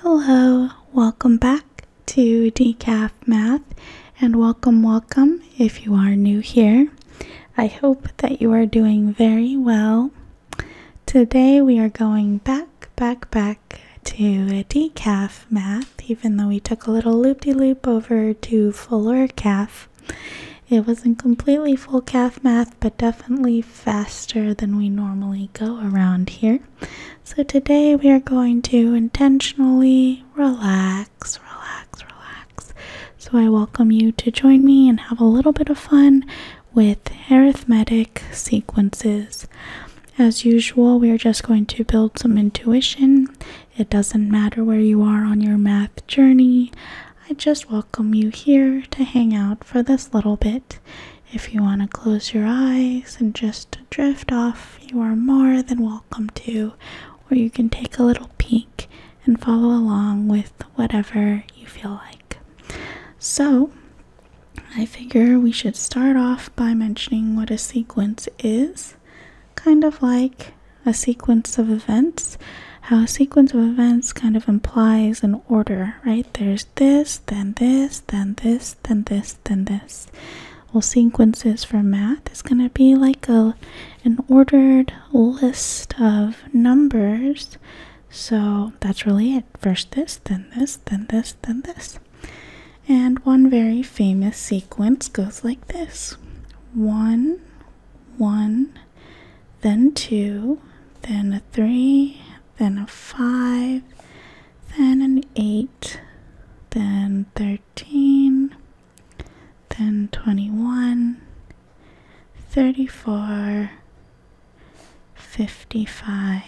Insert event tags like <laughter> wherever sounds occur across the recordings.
Hello, welcome back to Decaf Math, and welcome, welcome if you are new here. I hope that you are doing very well. Today we are going back, back, back to Decaf Math, even though we took a little loop de loop over to fuller calf. It wasn't completely full calf math, but definitely faster than we normally go around here. So today we are going to intentionally relax, relax, relax. So I welcome you to join me and have a little bit of fun with arithmetic sequences. As usual, we are just going to build some intuition. It doesn't matter where you are on your math journey. I just welcome you here to hang out for this little bit. If you want to close your eyes and just drift off, you are more than welcome to, or you can take a little peek and follow along with whatever you feel like. So, I figure we should start off by mentioning what a sequence is, kind of like a sequence of events. How a sequence of events kind of implies an order, right? There's this, then this, then this, this, then this, then this. Well, sequences for math is going to be like a an ordered list of numbers. So that's really it. First this, then this, then this, then this. And one very famous sequence goes like this one, one, then two, then a three, then a five, then an 8, then 13, then 21, 34, 55,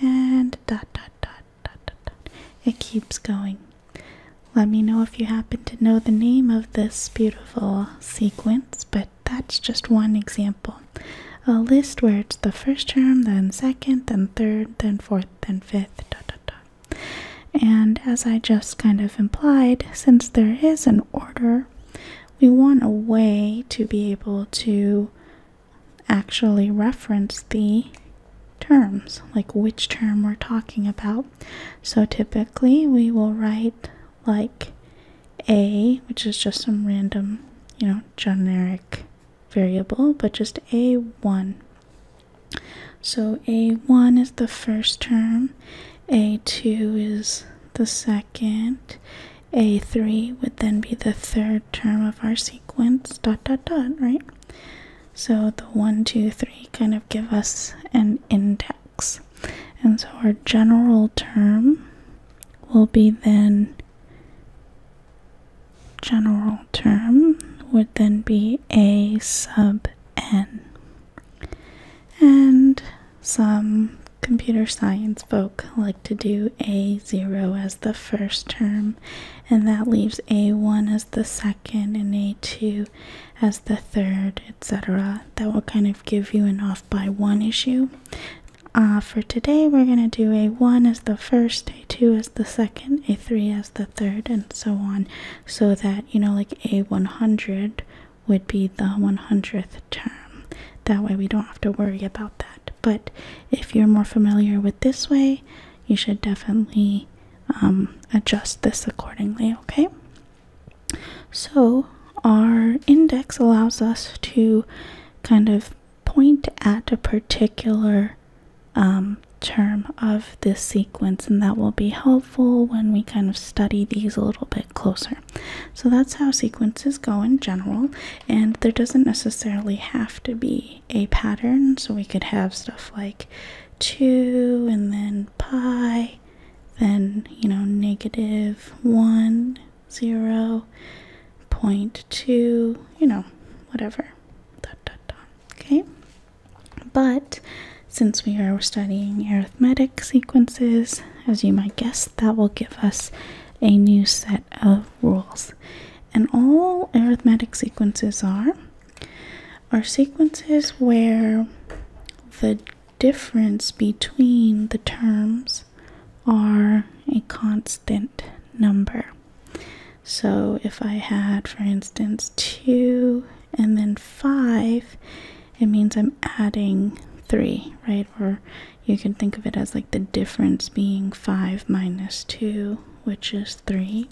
and dot dot dot dot dot. It keeps going. Let me know if you happen to know the name of this beautiful sequence, but that's just one example a list where it's the first term, then second, then third, then fourth, then fifth, da, da, da. And as I just kind of implied, since there is an order, we want a way to be able to actually reference the terms, like which term we're talking about. So typically we will write like a, which is just some random, you know, generic variable, but just a1. So a1 is the first term, a2 is the second, a3 would then be the third term of our sequence, dot dot dot, right? So the 1, 2, 3 kind of give us an index. And so our general term will be then general term would then be a sub n. And some computer science folk like to do a0 as the first term, and that leaves a1 as the second, and a2 as the third, etc. That will kind of give you an off by one issue. Uh, for today, we're going to do a 1 as the first, a 2 as the second, a 3 as the third, and so on, so that, you know, like a 100 would be the 100th term. That way, we don't have to worry about that. But if you're more familiar with this way, you should definitely um, adjust this accordingly, okay? So, our index allows us to kind of point at a particular um, term of this sequence, and that will be helpful when we kind of study these a little bit closer. So that's how sequences go in general, and there doesn't necessarily have to be a pattern, so we could have stuff like 2 and then pi, then you know, negative 1 0.2, you know, whatever. Okay? But since we are studying arithmetic sequences, as you might guess, that will give us a new set of rules. And all arithmetic sequences are are sequences where the difference between the terms are a constant number. So if I had, for instance, 2 and then 5, it means I'm adding 3, right? Or you can think of it as like the difference being 5 minus 2, which is 3.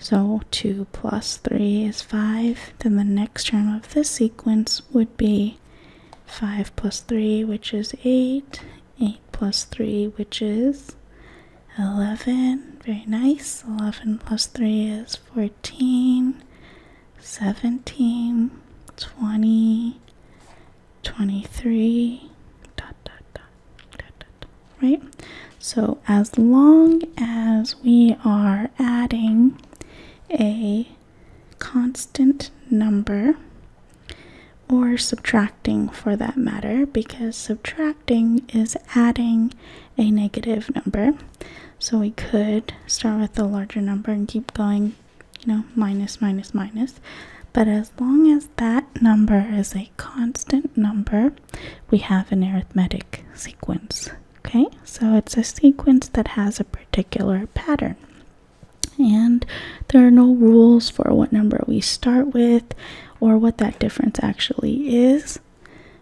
So 2 plus 3 is 5. Then the next term of this sequence would be 5 plus 3, which is 8. 8 plus 3, which is 11. Very nice. 11 plus 3 is 14, 17, 20, 23, dot, dot, dot, dot, dot, right? So as long as we are adding a constant number or subtracting for that matter, because subtracting is adding a negative number. So we could start with a larger number and keep going, you know, minus, minus, minus. But as long as that number is a constant number, we have an arithmetic sequence. Okay, so it's a sequence that has a particular pattern. And there are no rules for what number we start with or what that difference actually is.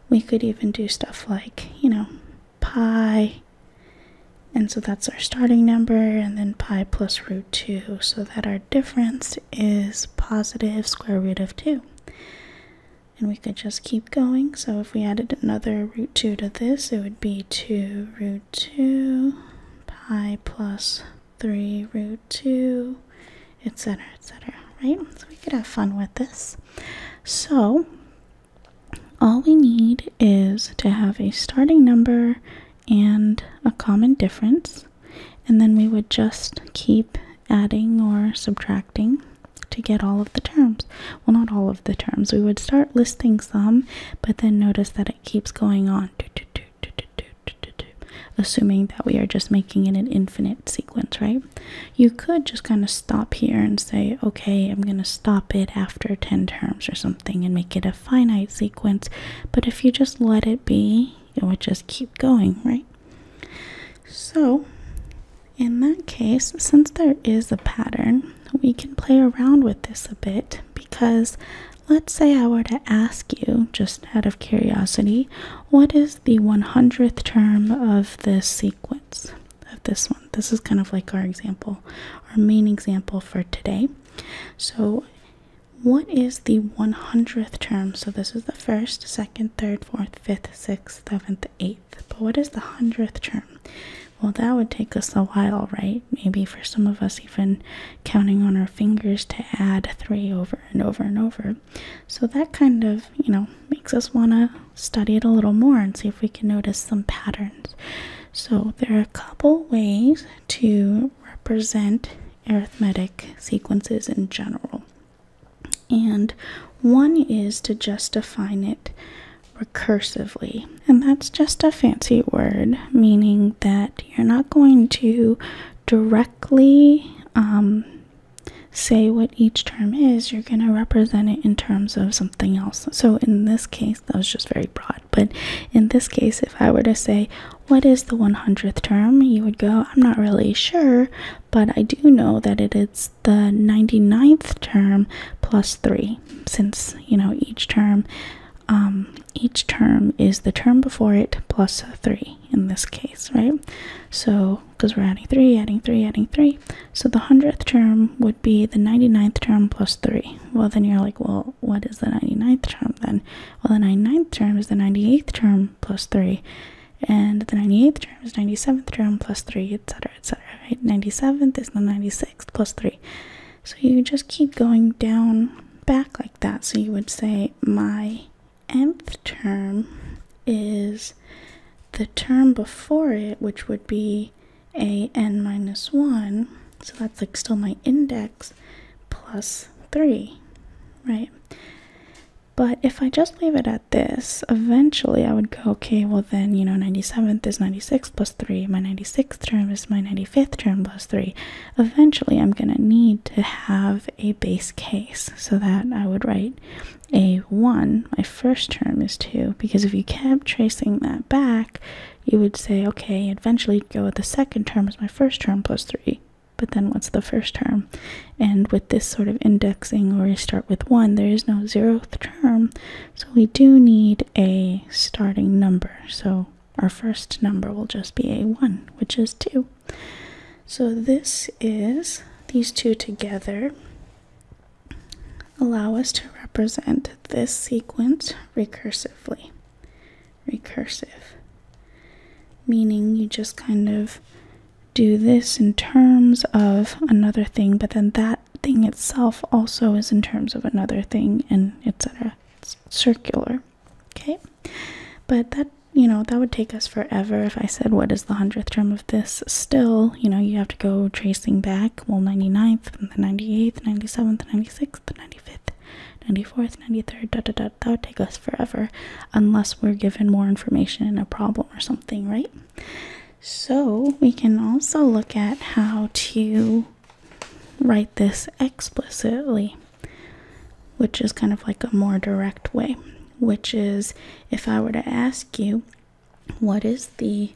We could even do stuff like, you know, pi. And so that's our starting number, and then pi plus root 2, so that our difference is positive square root of 2. And we could just keep going. So if we added another root 2 to this, it would be 2 root 2 pi plus 3, root 2, etc., etc., right? So we could have fun with this. So all we need is to have a starting number and a common difference, and then we would just keep adding or subtracting to get all of the terms. Well, not all of the terms. We would start listing some, but then notice that it keeps going on assuming that we are just making it an infinite sequence, right? You could just kind of stop here and say, okay, I'm going to stop it after 10 terms or something and make it a finite sequence. But if you just let it be, it would just keep going, right? So, in that case, since there is a pattern, we can play around with this a bit because Let's say I were to ask you, just out of curiosity, what is the 100th term of this sequence, of this one? This is kind of like our example, our main example for today. So, what is the 100th term? So, this is the first, second, third, fourth, fifth, sixth, seventh, eighth. But what is the 100th term? Well, that would take us a while, right? Maybe for some of us, even counting on our fingers to add three over and over and over. So that kind of, you know, makes us want to study it a little more and see if we can notice some patterns. So there are a couple ways to represent arithmetic sequences in general. And one is to just define it recursively. And that's just a fancy word, meaning that you're not going to directly um, say what each term is. You're going to represent it in terms of something else. So in this case, that was just very broad. But in this case, if I were to say, what is the 100th term? You would go, I'm not really sure, but I do know that it is the 99th term plus 3, since, you know, each term um, each term is the term before it 3 in this case, right? So, because we're adding 3, adding 3, adding 3. So the 100th term would be the 99th term plus 3. Well, then you're like, well, what is the 99th term then? Well, the 99th term is the 98th term plus 3. And the 98th term is 97th term plus 3, etc., etc., right? 97th is the 96th plus 3. So you just keep going down back like that. So you would say, my nth term is the term before it, which would be a n minus 1. So that's like still my index plus 3, right? But if I just leave it at this, eventually I would go, okay, well then, you know, 97th is 96 plus 3, my 96th term is my 95th term plus 3, eventually I'm going to need to have a base case so that I would write a 1. My first term is 2 because if you kept tracing that back, you would say, okay, eventually go with the second term is my first term plus 3. But then what's the first term? And with this sort of indexing where you start with 1, there is no zeroth term. So we do need a starting number. So our first number will just be a 1, which is 2. So this is, these two together allow us to represent this sequence recursively. Recursive. Meaning you just kind of do this in terms of another thing, but then that thing itself also is in terms of another thing, and etc. It's circular. Okay, but that you know that would take us forever if I said what is the hundredth term of this. Still, you know you have to go tracing back. Well, 99th, and the 98th, 97th, 96th, 95th, 94th, 93rd. That would take us forever, unless we're given more information in a problem or something, right? So we can also look at how to write this explicitly, which is kind of like a more direct way, which is if I were to ask you, what is the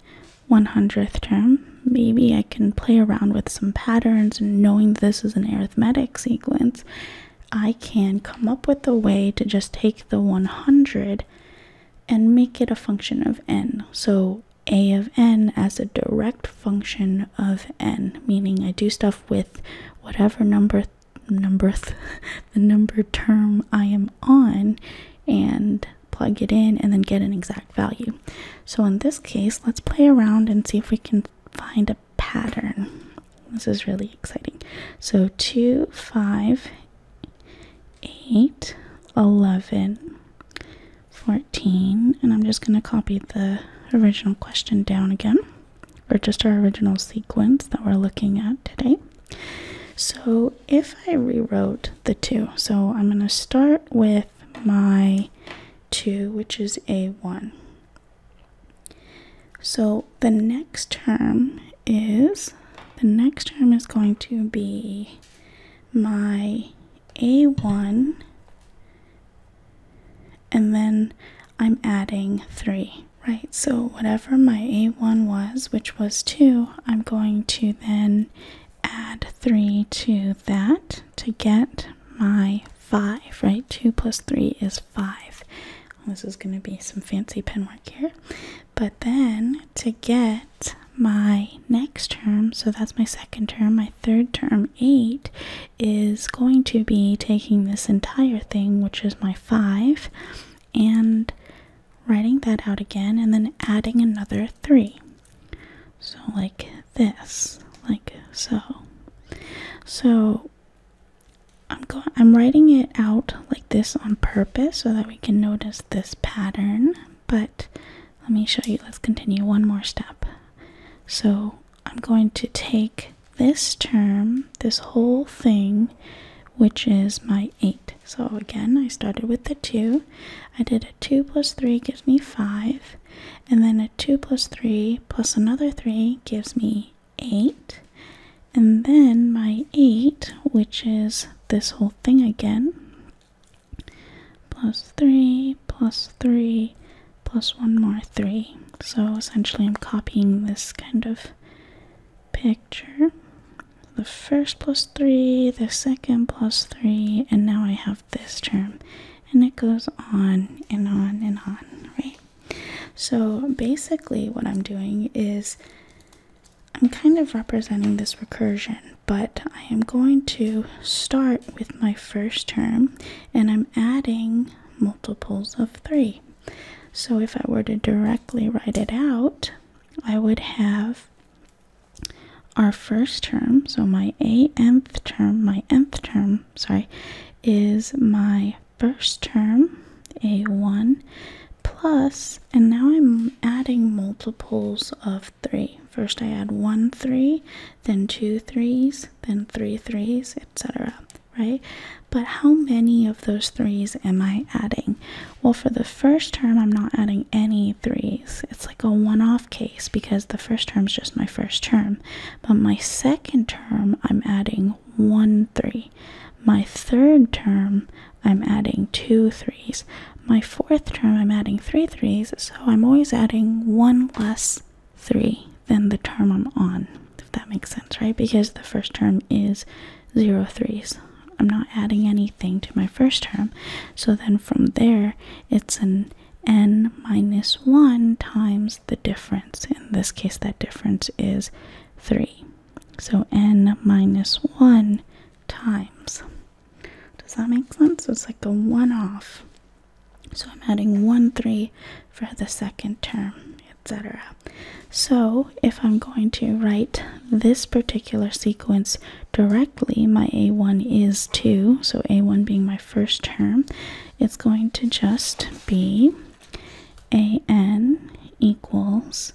100th term? Maybe I can play around with some patterns and knowing this is an arithmetic sequence. I can come up with a way to just take the 100 and make it a function of n. So a of n as a direct function of n, meaning I do stuff with whatever number number <laughs> the number term I am on and plug it in and then get an exact value. So in this case, let's play around and see if we can find a pattern. This is really exciting. So 2, 5, 8, 11, 14 and I'm just going to copy the original question down again or just our original sequence that we're looking at today. So if I rewrote the 2, so I'm going to start with my 2 which is a1. So the next term is the next term is going to be my a1 and then I'm adding 3, right? So whatever my a1 was, which was 2, I'm going to then add 3 to that to get my 5, right? 2 plus 3 is 5. This is going to be some fancy pen work here. But then to get my next term, so that's my second term, my third term, 8, is going to be taking this entire thing, which is my five, and writing that out again and then adding another three. So, like this, like so. So, I'm going. I'm writing it out like this on purpose so that we can notice this pattern. But let me show you. Let's continue one more step. So I'm going to take this term, this whole thing, which is my 8. So again, I started with the 2. I did a 2 plus 3 gives me 5. And then a 2 plus 3 plus another 3 gives me 8. And then my 8, which is this whole thing again, plus 3 plus 3 plus one more three. So essentially, I'm copying this kind of picture. The first plus three, the second plus three, and now I have this term. And it goes on and on and on, right? So basically, what I'm doing is I'm kind of representing this recursion, but I am going to start with my first term and I'm adding multiples of 3. So if I were to directly write it out, I would have our first term, so my a nth term, my nth term, sorry, is my first term, a1, plus, and now I'm adding multiples of 3. First I add 1 3, then two threes, then three threes, etc. Right? But how many of those threes am I adding? Well, for the first term, I'm not adding any threes. It's like a one off case because the first term is just my first term. But my second term, I'm adding one three. My third term, I'm adding two threes. My fourth term, I'm adding three threes, so I'm always adding one less plus 3 then the term I'm on, if that makes sense, right? Because the first term is 0 threes. I'm not adding anything to my first term. So then from there, it's an n minus 1 times the difference. In this case, that difference is 3. So n minus 1 times. Does that make sense? It's like a one off. So I'm adding 1, 3 for the second term, etc. So if I'm going to write this particular sequence directly, my a1 is 2, so a1 being my first term, it's going to just be an equals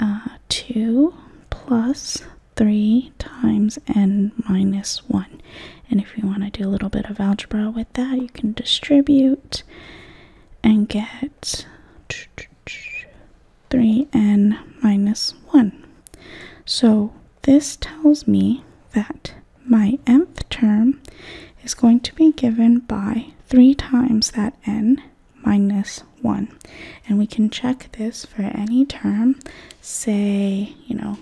uh, 2 plus 3 times n minus 1. And if you want to do a little bit of algebra with that, you can distribute and get 3n minus 1. So this tells me that my nth term is going to be given by 3 times that n minus 1. And we can check this for any term, say, you know,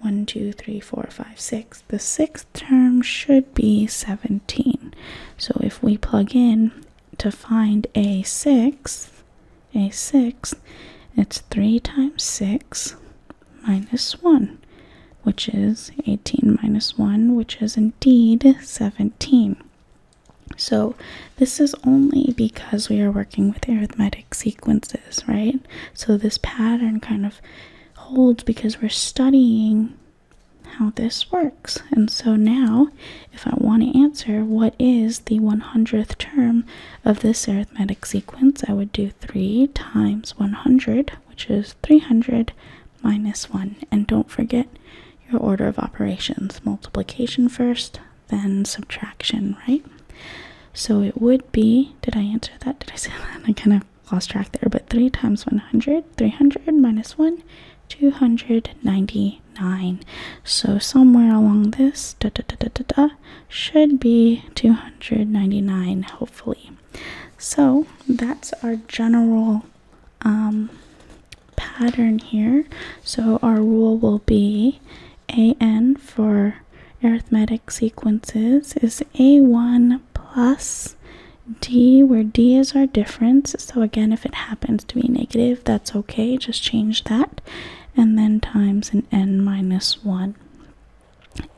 1, 2, 3, 4, 5, 6. The sixth term should be 17. So if we plug in to find a six, a six, it's 3 times 6 minus 1, which is 18 minus 1, which is indeed 17. So this is only because we are working with arithmetic sequences, right? So this pattern kind of holds because we're studying how this works. And so now, if I want to answer what is the 100th term of this arithmetic sequence, I would do 3 times 100, which is 300 minus 1. And don't forget your order of operations multiplication first, then subtraction, right? So it would be, did I answer that? Did I say that? <laughs> I kind of lost track there, but 3 times 100, 300 minus 1, 299. So somewhere along this should be 299, hopefully. So that's our general um, pattern here. So our rule will be an for arithmetic sequences is a1 plus d, where d is our difference. So again, if it happens to be negative, that's okay, just change that. And then times an n minus 1.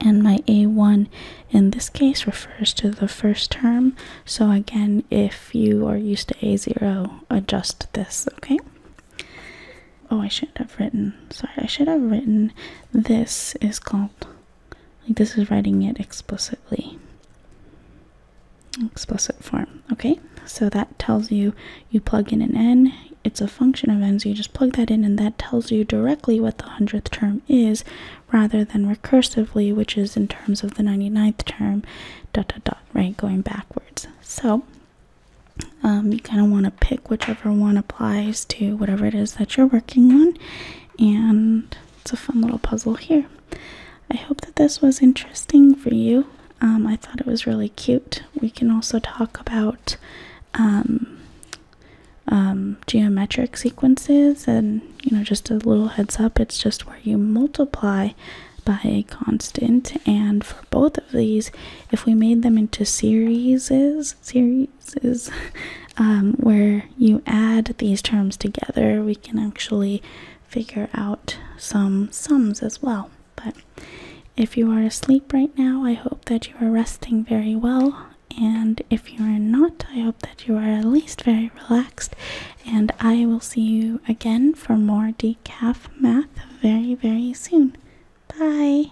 And my a1 in this case refers to the first term. So again, if you are used to a0, adjust this, okay? Oh, I should have written, sorry, I should have written this is called, like, this is writing it explicitly. Explicit form. Okay, so that tells you you plug in an n, it's a function of n, so you just plug that in, and that tells you directly what the hundredth term is rather than recursively, which is in terms of the 99th term, dot dot dot, right? Going backwards. So um, you kind of want to pick whichever one applies to whatever it is that you're working on, and it's a fun little puzzle here. I hope that this was interesting for you. Um, I thought it was really cute. We can also talk about um, um, geometric sequences, and you know, just a little heads up it's just where you multiply by a constant. And for both of these, if we made them into series, series phrases um, where you add these terms together, we can actually figure out some sums as well. But if you are asleep right now, I hope that you are resting very well. And if you are not, I hope that you are at least very relaxed. And I will see you again for more decaf math very, very soon. Bye.